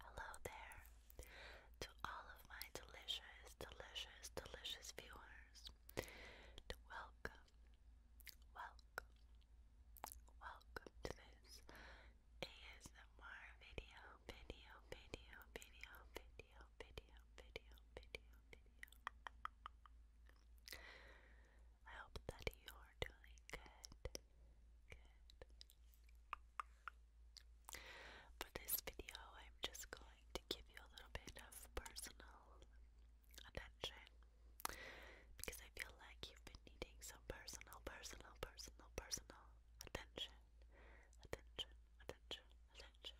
Hello there to all of my delicious, delicious, delicious viewers. Welcome welcome, welcome to this ASMR video, video, video, video, video, video, video, video, I hope that you are doing good, good. For this video, I'm just going to give you a little bit of personal attention because I feel like you've been needing some personal, personal, personal, personal attention, attention, attention, attention.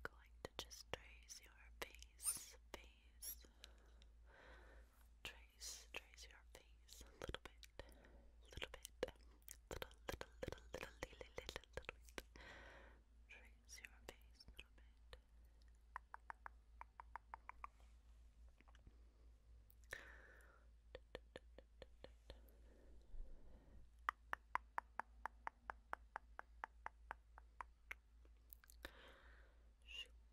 going to just trace your face, face trace, trace your face a little bit, little bit, little, little, little, little, little, little, little bit. Trace your face a little bit. Shoop. Shoop.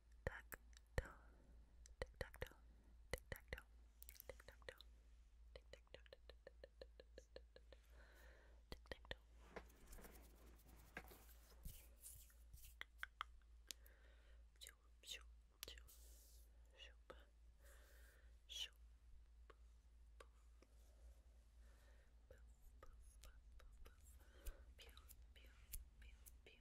tac toe, tic tac toe, tic tac toe, tic tac toe, tic tac toe, tic tac toe. Shoop, shoop, shoop, shoop, shoop, poof, poof, poof, poof, poof, poof, pew, pew, pew, pew.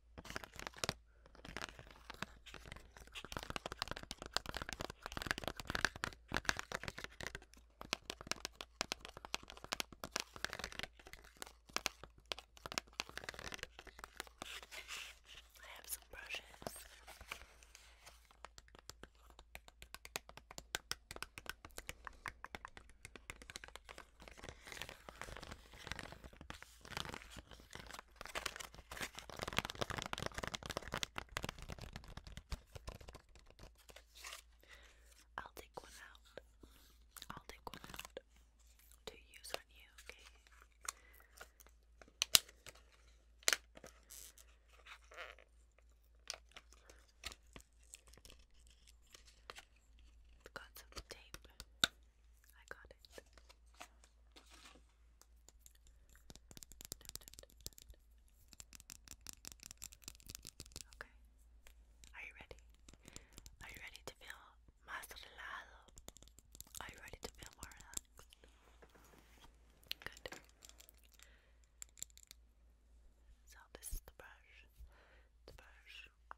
I have some brushes. I'll take one out. I'll take one out to use on you, got some tape. I got it. Okay. Are you ready? Are you ready to feel más relajado? Are you ready to feel more Good. So this is the brush. The brush.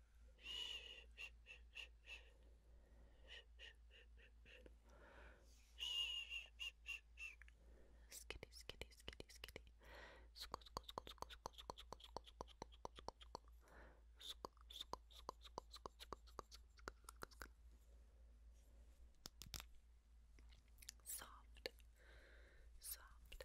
skitty, skitty, skitty, skitty. Sco, sco, sco, sco, sco, sco, sco, sco, sco, sco, sco, sco. Sco, sco, sco, sco, sco, sco, sco, sco, sco. Soft, soft,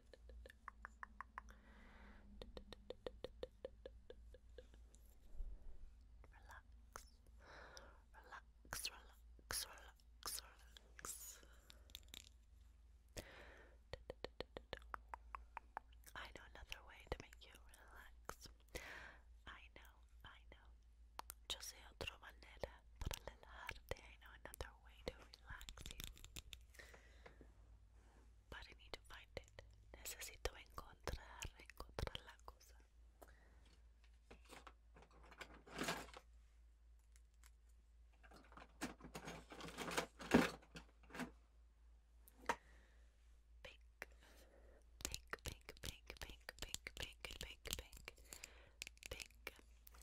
relax, relax, relax, relax. I know another way to make you relax. I know, I know. Yo sé otra manera para relajarte. I know another way to relax you. But I need to find it. Necesito encontrar, encontrar la cosa. Pink, pink, pink, pink, pink, pink, pink, pink, pink,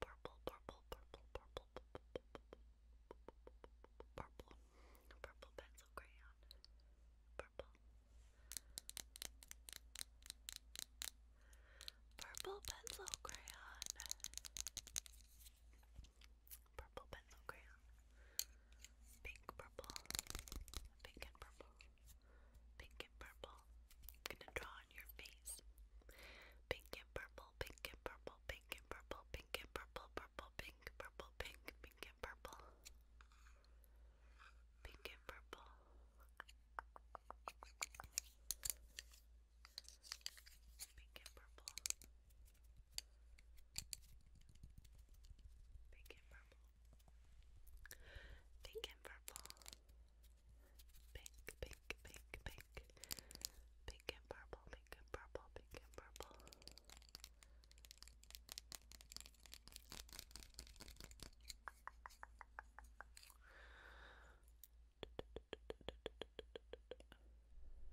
purple, purple, purple, purple, purple, purple pencil crayon, purple, purple pencil crayon, purple pencil crayon, pink, purple, pink and purple, pink and purple. I'm gonna draw on your face. Pink and purple, pink and purple, pink and purple, pink and purple, purple, pink, purple, pink, Pink and purple. Pink and purple. Pink and purple. Pink and purple. Pink and purple. Pink, pink, pink, pink. Pink and purple, pink and purple, pink and purple.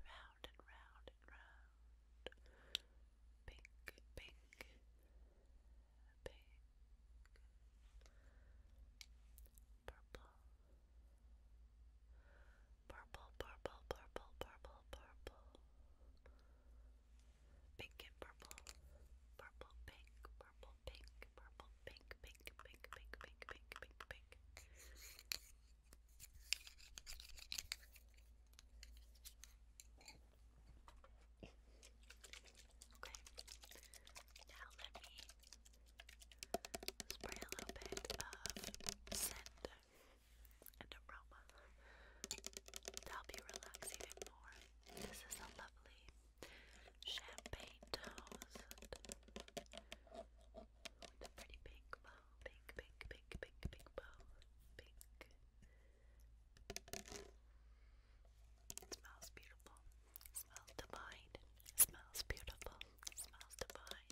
Round and round and round. Pink, pink, pink, Purple. Purple, purple, purple, purple, purple. Pink and purple. Purple, pink, purple, pink, purple, pink, pink, pink, pink, pink, pink, pink, Okay. Now let me spray a little bit of scent and aroma to help you relax even more. This is a lovely champagne toast with a pretty pink bow. Pink, pink, pink, pink, pink bow. Pink smells beautiful. smells divine. smells beautiful. smells divine.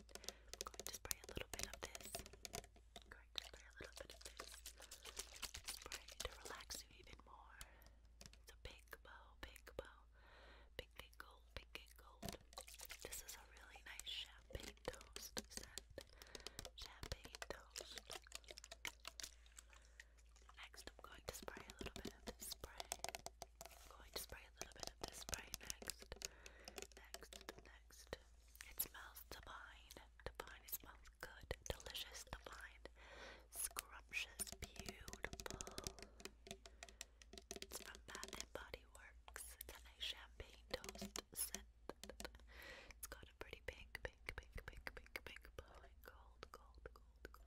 i spray a little bit of this. i spray a little bit of this. Spray to relax you even more. It's a bow, big bow. Big, gold, big, gold. This is a really nice champagne toast scent. Champagne toast. Next, I'm going to spray a little bit of this spray. going to spray a little bit of this spray next. Next, next. It smells divine. Divine, it smells good, delicious, divine, scrumptious, beautiful. It's from Bath and Body Works. It's a champagne toast scent. It's got a pretty pink pink, pink, pink, pink, pink, blowing gold, gold, gold, gold.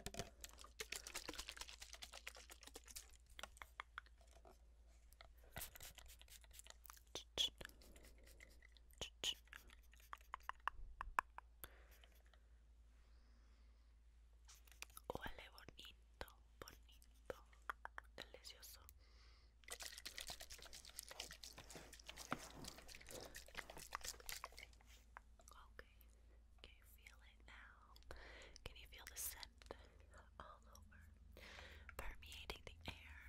Ch bonito, bonito, delicioso. Okay. Can you feel it now? Can you feel the scent all over? Permeating the air.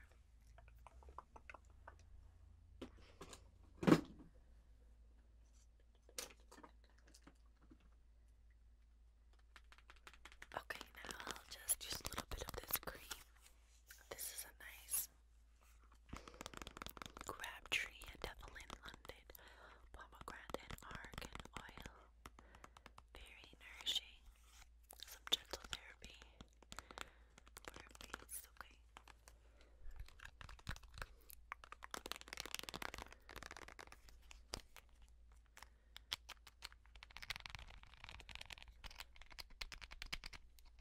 Okay, now I'll just use a little bit of this cream this is a nice Crabtree, a Devil in London, pomegranate argan oil. Very nourishing. Some gentle therapy for your face, Okay.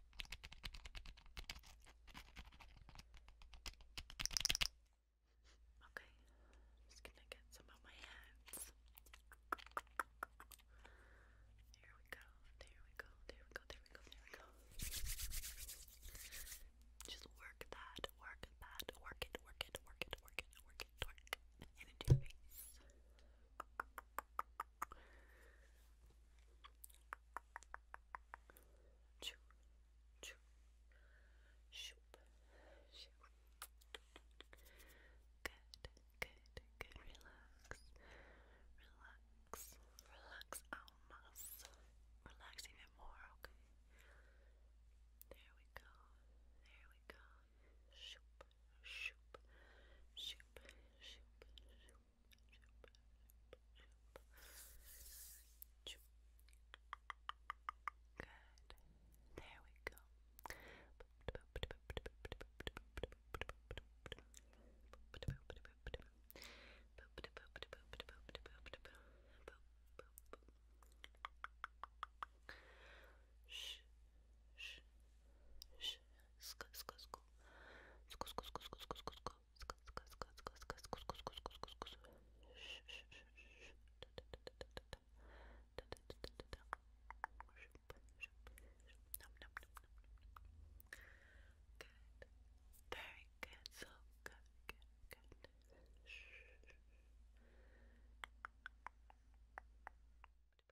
Okay, just gonna get some of my hands. There we go, there we go, there we go, there we go, there we go. Just work that, work that, work it, work it, work it, work it, work it, work it, into your face. Choo, choo, shoop, shoop. Good, good, good. Relax, relax, relax. Almas, relax even more. Okay. There we go. There we go. Shoop, shoop, shoop, shoop, shoop. Good. There we go. Shh, shh, shh, sk, very good. So good, good, good.